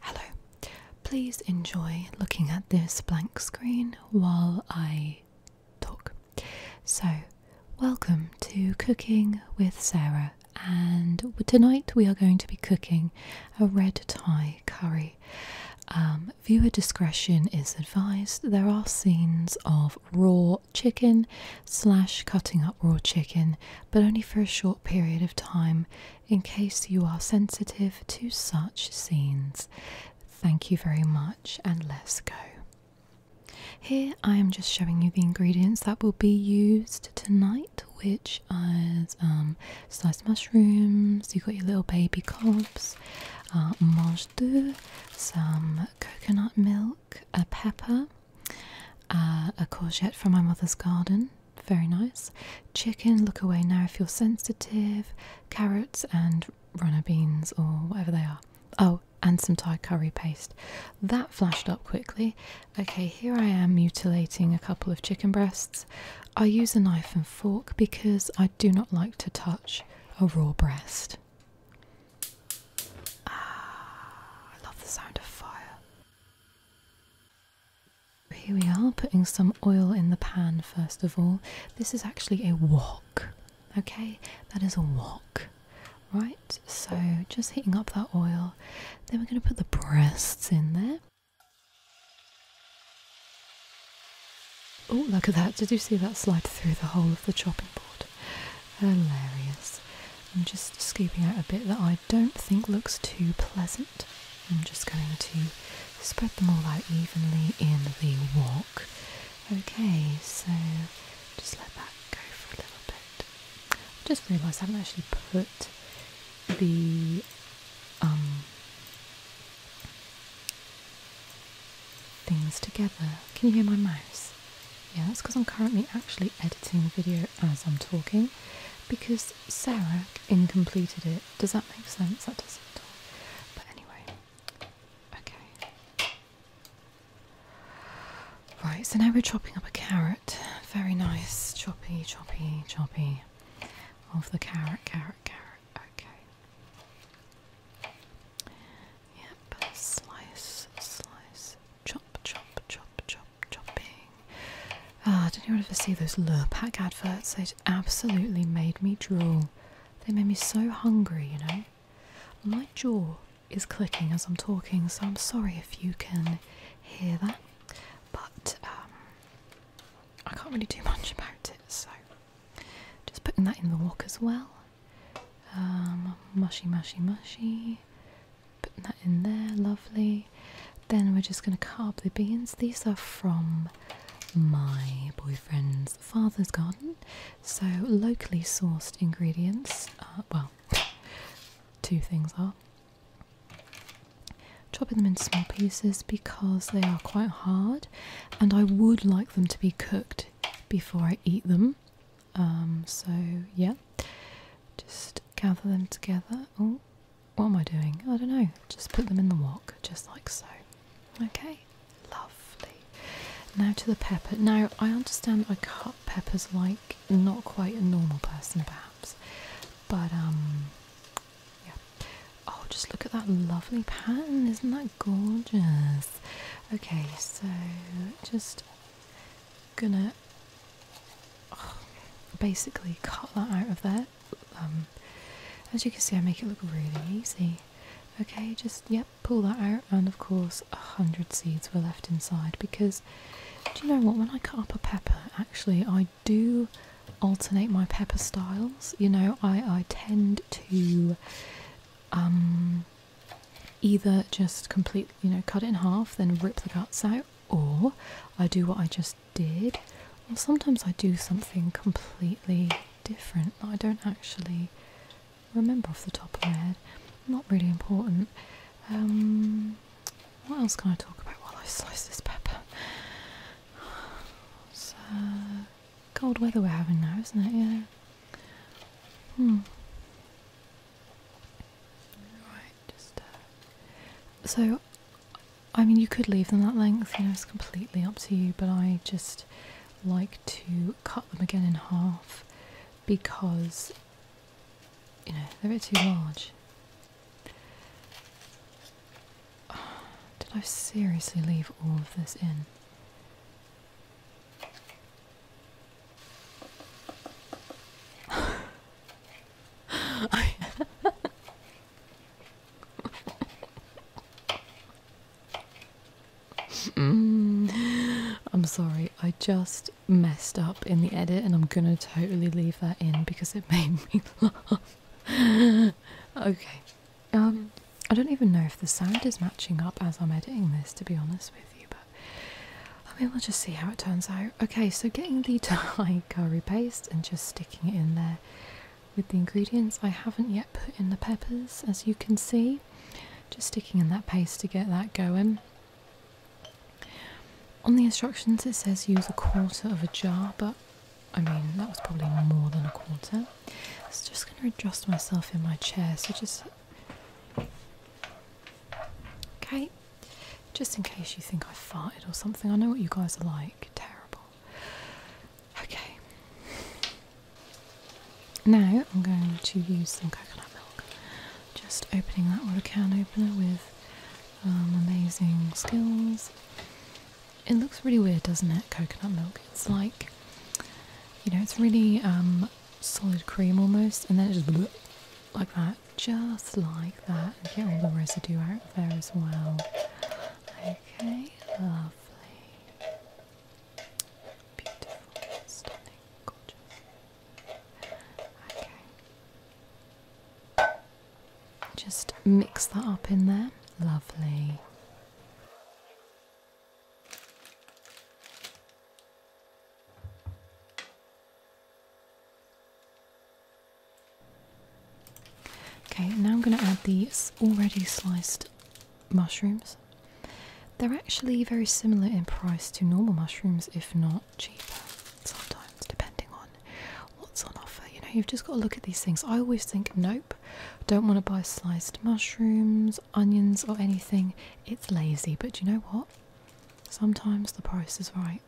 Hello. Please enjoy looking at this blank screen while I talk. So, welcome to Cooking with Sarah, and tonight we are going to be cooking a red Thai curry. Um, viewer discretion is advised. There are scenes of raw chicken slash cutting up raw chicken, but only for a short period of time in case you are sensitive to such scenes. Thank you very much, and let's go. Here I am just showing you the ingredients that will be used tonight, which is um, sliced mushrooms, you've got your little baby cobs, uh, mange d'oeuf, some coconut milk, a pepper, uh, a courgette from my mother's garden, very nice. Chicken, look away now if you're sensitive. Carrots and runner beans or whatever they are. Oh, and some Thai curry paste. That flashed up quickly. Okay, here I am mutilating a couple of chicken breasts. I use a knife and fork because I do not like to touch a raw breast. Ah, I love the sound of fire. Here we are, putting some oil in the pan first of all. This is actually a wok, okay? That is a wok, right? So just heating up that oil. Then we're going to put the breasts in there. Oh, look at that. Did you see that slide through the whole of the chopping board? Hilarious. I'm just scooping out a bit that I don't think looks too pleasant. I'm just going to spread them all out evenly in the wok. Okay, so just let that go for a little bit. I just realised I haven't actually put the um, things together. Can you hear my mouse? Yeah, that's because I'm currently actually editing the video as I'm talking because Sarah incompleted it. Does that make sense? That doesn't. But anyway, okay. Right, so now we're chopping up a carrot. Very nice, choppy, choppy, choppy of the carrot, carrot, carrot. Okay. Yep, slice, slice, chop, chop, chop, chop shopping. Ah, oh, did you ever see those Lurpak adverts? They absolutely made me drool. They made me so hungry, you know. My jaw is clicking as I'm talking, so I'm sorry if you can hear that. But um, I can't really do much about it, so just putting that in the walk as well. Um, mushy, mushy, mushy. Putting that in there, lovely. Then we're just going to cut up the beans. These are from my boyfriend's father's garden. So locally sourced ingredients. well, two things are. Chopping them into small pieces because they are quite hard and I would like them to be cooked before I eat them. Um, so yeah, just gather them together. Oh, what am I doing? I don't know. Just put them in the wok, just like so. Okay, lovely. Now to the pepper. Now, I understand I cut peppers like not quite a normal person, perhaps, but um, yeah. Oh, just look at that lovely pattern. Isn't that gorgeous? Okay, so just gonna basically cut that out of there. Um, as you can see, I make it look really easy. Okay, just yep, pull that out, and of course, a hundred seeds were left inside because do you know what? When I cut up a pepper, actually, I do alternate my pepper styles. You know, I I tend to um, either just complete you know cut it in half, then rip the guts out, or I do what I just did, Well, sometimes I do something completely different that I don't actually remember off the top of my head. Not really important. Um, what else can I talk about while I slice this pepper? Uh, cold weather we're having now, isn't it? Yeah. Hmm just uh, so I mean you could leave them that length, you know, it's completely up to you, but I just like to cut them again in half because you know they're a bit too large. did I seriously leave all of this in? Mm. I'm sorry, I just messed up in the edit and I'm gonna totally leave that in because it made me laugh. okay. Um I don't even know if the sound is matching up as I'm editing this to be honest with you, but I mean we'll just see how it turns out okay, so getting the Thai curry paste and just sticking it in there with the ingredients. I haven't yet put in the peppers, as you can see. Just sticking in that paste to get that going. On the instructions, it says use a quarter of a jar, but I mean, that was probably more than a quarter. So just going to adjust myself in my chair, so just. Okay, just in case you think I farted or something, I know what you guys are like. Terrible. Okay. Now I'm going to use some coconut milk. Just opening that water can opener with um, amazing skills. It looks really weird, doesn't it? Coconut milk. It's like, you know, it's really um, solid cream almost, and then it just like that just like that and get all the residue out there as well. Okay, lovely. Beautiful, stunning, Okay. Just mix that up in there. Lovely. Okay, now I'm going to add the already sliced mushrooms. They're actually very similar in price to normal mushrooms, if not cheaper, sometimes, depending on what's on offer. You know, you've just got to look at these things. I always think, nope, don't want to buy sliced mushrooms, onions, or anything. It's lazy, but you know what? Sometimes the price is right.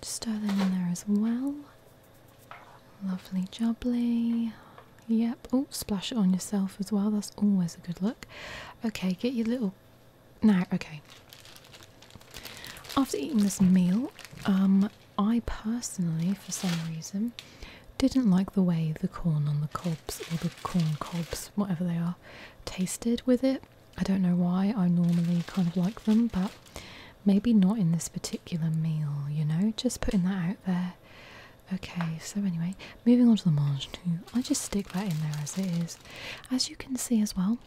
Just Stir them in there as well. Lovely jubbly. Yep. Oh, splash it on yourself as well. That's always a good look. Okay, get your little. Now, okay. After eating this meal, um, I personally, for some reason, didn't like the way the corn on the cobs or the corn cobs, whatever they are, tasted with it. I don't know why I normally kind of like them, but maybe not in this particular meal, you know? Just putting that out there. Okay, so anyway, moving on to the margenu. I just stick that in there as it is. As you can see as well,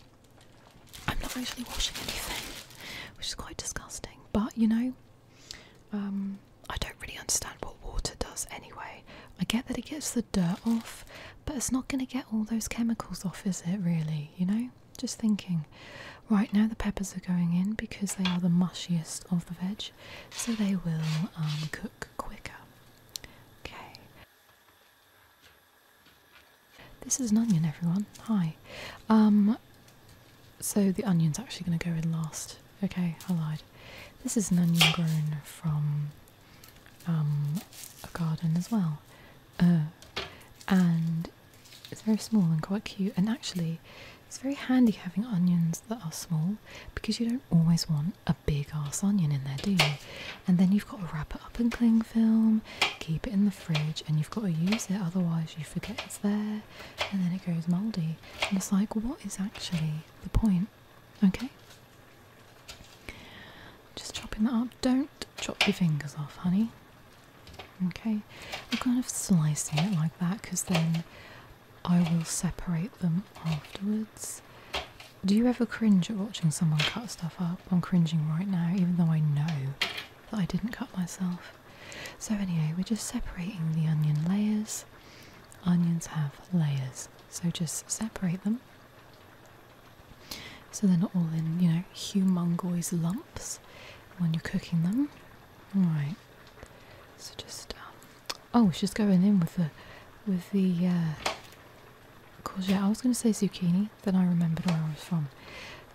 I'm not actually washing anything, which is quite disgusting. But, you know, um, I don't really understand what water does anyway. I get that it gets the dirt off, but it's not going to get all those chemicals off, is it, really? You know? Just thinking. Right, now the peppers are going in because they are the mushiest of the veg, so they will um, cook quicker. Okay. This is an onion, everyone. Hi. Um, so the onion's actually going to go in last. Okay, I lied. This is an onion grown from um, a garden as well. Uh, and it's very small and quite cute. And actually, it's very handy having onions that are small because you don't always want a big ass onion in there, do you? And then you've got to wrap it up in cling film, keep it in the fridge, and you've got to use it, otherwise, you forget it's there and then it goes mouldy. And it's like, what is actually the point? Okay. Just chopping that up. Don't chop your fingers off, honey. Okay, I'm kind of slicing it like that because then I will separate them afterwards. Do you ever cringe at watching someone cut stuff up? I'm cringing right now, even though I know that I didn't cut myself. So, anyway, we're just separating the onion layers. Onions have layers, so just separate them. So they're not all in, you know, humongous lumps when you're cooking them. Right. So just um, oh, she's just going in with the with the uh, courgette. I was going to say zucchini, then I remembered where I was from.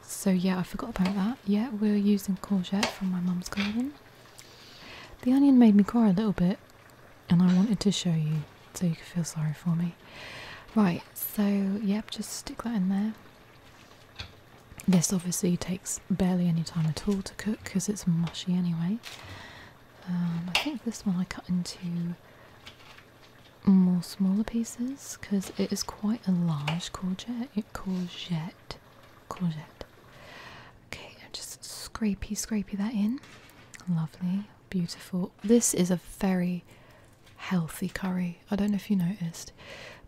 So yeah, I forgot about that. Yeah, we're using courgette from my mum's garden. The onion made me cry a little bit, and I wanted to show you so you could feel sorry for me. Right, so yep, just stick that in there. This obviously takes barely any time at all to cook because it's mushy anyway. Um, I think this one I cut into more smaller pieces because it is quite a large courgette. It courgette, courgette. Okay, just scrapey, scrapey that in. Lovely, beautiful. This is a very healthy curry. I don't know if you noticed,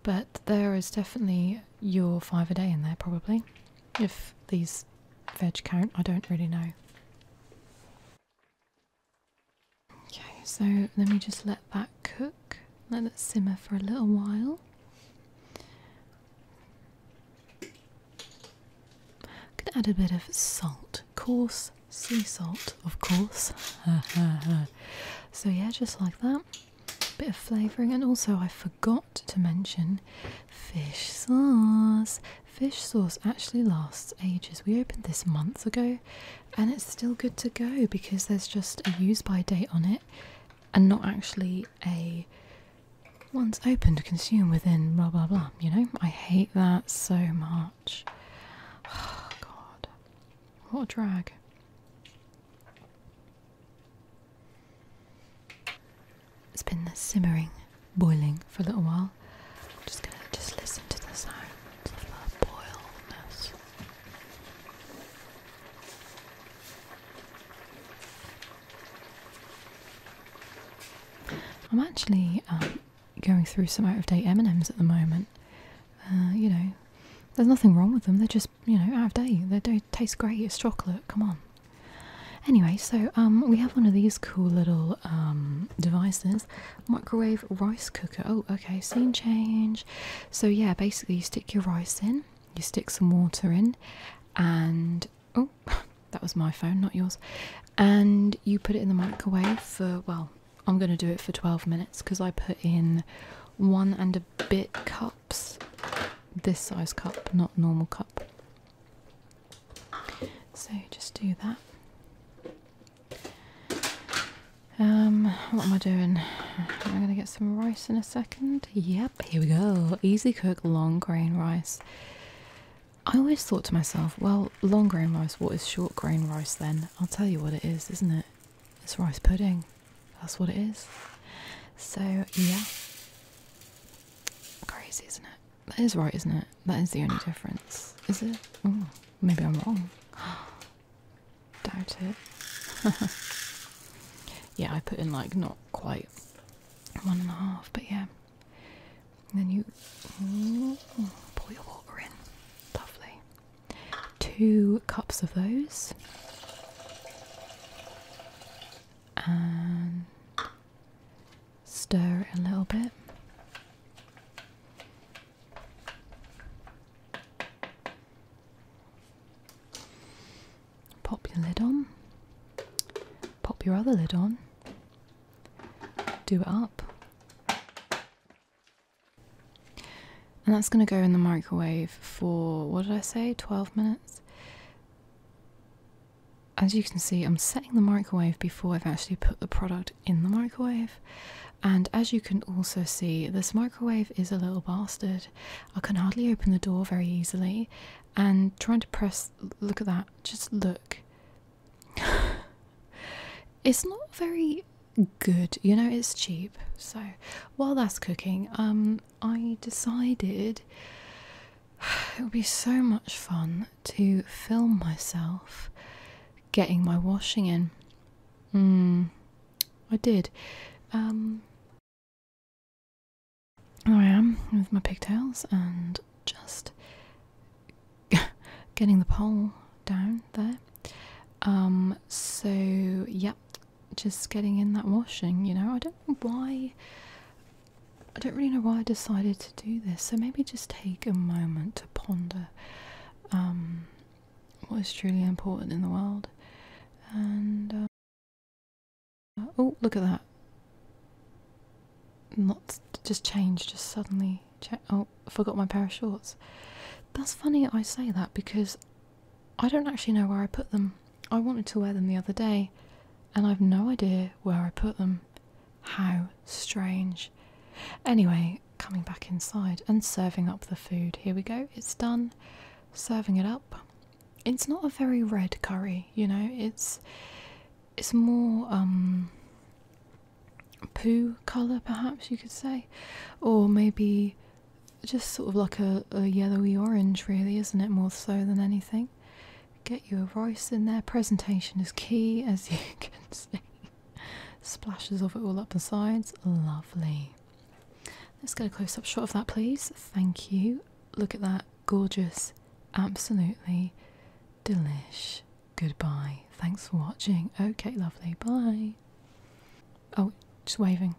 but there is definitely your five a day in there, probably. If these veg count, I don't really know. Okay, so let me just let that cook, let it simmer for a little while. I could add a bit of salt coarse sea salt, of course. so, yeah, just like that. Bit of flavouring, and also I forgot to mention fish sauce. Fish sauce actually lasts ages. We opened this months ago and it's still good to go because there's just a use by date on it and not actually a once opened consume within blah blah blah, you know? I hate that so much. Oh, God. What a drag. It's been simmering, boiling for a little while. I'm just gonna just listen to the sound of the boilness. I'm actually um, going through some out of date M&Ms at the moment. Uh, you know, there's nothing wrong with them. They're just you know out of date. They don't taste great. It's chocolate. Come on. Anyway, so um, we have one of these cool little um, devices, microwave rice cooker. Oh, okay, scene change. So yeah, basically you stick your rice in, you stick some water in, and oh, that was my phone, not yours. And you put it in the microwave for well I'm gonna do it for 12 minutes because I put in one and a bit cups, this size cup, not normal cup. So just do that. Um, what am I doing? I'm gonna get some rice in a second. Yep, here we go. Easy cook long grain rice. I always thought to myself, well, long grain rice, what is short grain rice then? I'll tell you what it is, isn't it? It's rice pudding. That's what it is. So, yeah. Crazy, isn't it? That is right, isn't it? That is the only difference. Is it? maybe I'm wrong. Doubt it. yeah, I put in like not quite one and a half, but yeah then you pour your water in. Lovely. Two cups of those. And stir it a little bit. Pop your lid on, pop your other lid on, do it up, and that's going to go in the microwave for, what did I say, 12 minutes? As you can see, I'm setting the microwave before I've actually put the product in the microwave. And as you can also see, this microwave is a little bastard. I can hardly open the door very easily. And trying to press, look at that, just look. it's not very good, you know, it's cheap. So while that's cooking, um I decided it would be so much fun to film myself getting my washing in. Mm, I did. Um there I am with my pigtails and just getting the pole down there. Um, so, yeah, just getting in that washing, you know. I don't know why, I don't really know why I decided to do this. So, maybe just take a moment to ponder um, what is truly important in the world. And, uh, oh, look at that. Not just change, just suddenly Oh, I forgot my pair of shorts. That's funny I say that because I don't actually know where I put them. I wanted to wear them the other day and I've no idea where I put them. How strange. Anyway, coming back inside and serving up the food. Here we go, it's done. Serving it up. It's not a very red curry, you know, it's it's more um poo colour, perhaps you could say, or maybe just sort of like a, yellowy orange, really, isn't it? More so than anything. Get your rice in there. Presentation is key, as you can see. Splashes of it all up the sides. Lovely. Let's get a close up shot of that, please. Thank you. Look at that. Gorgeous. Absolutely delicious goodbye. Thanks for watching. Okay, lovely. Bye. Oh, just waving.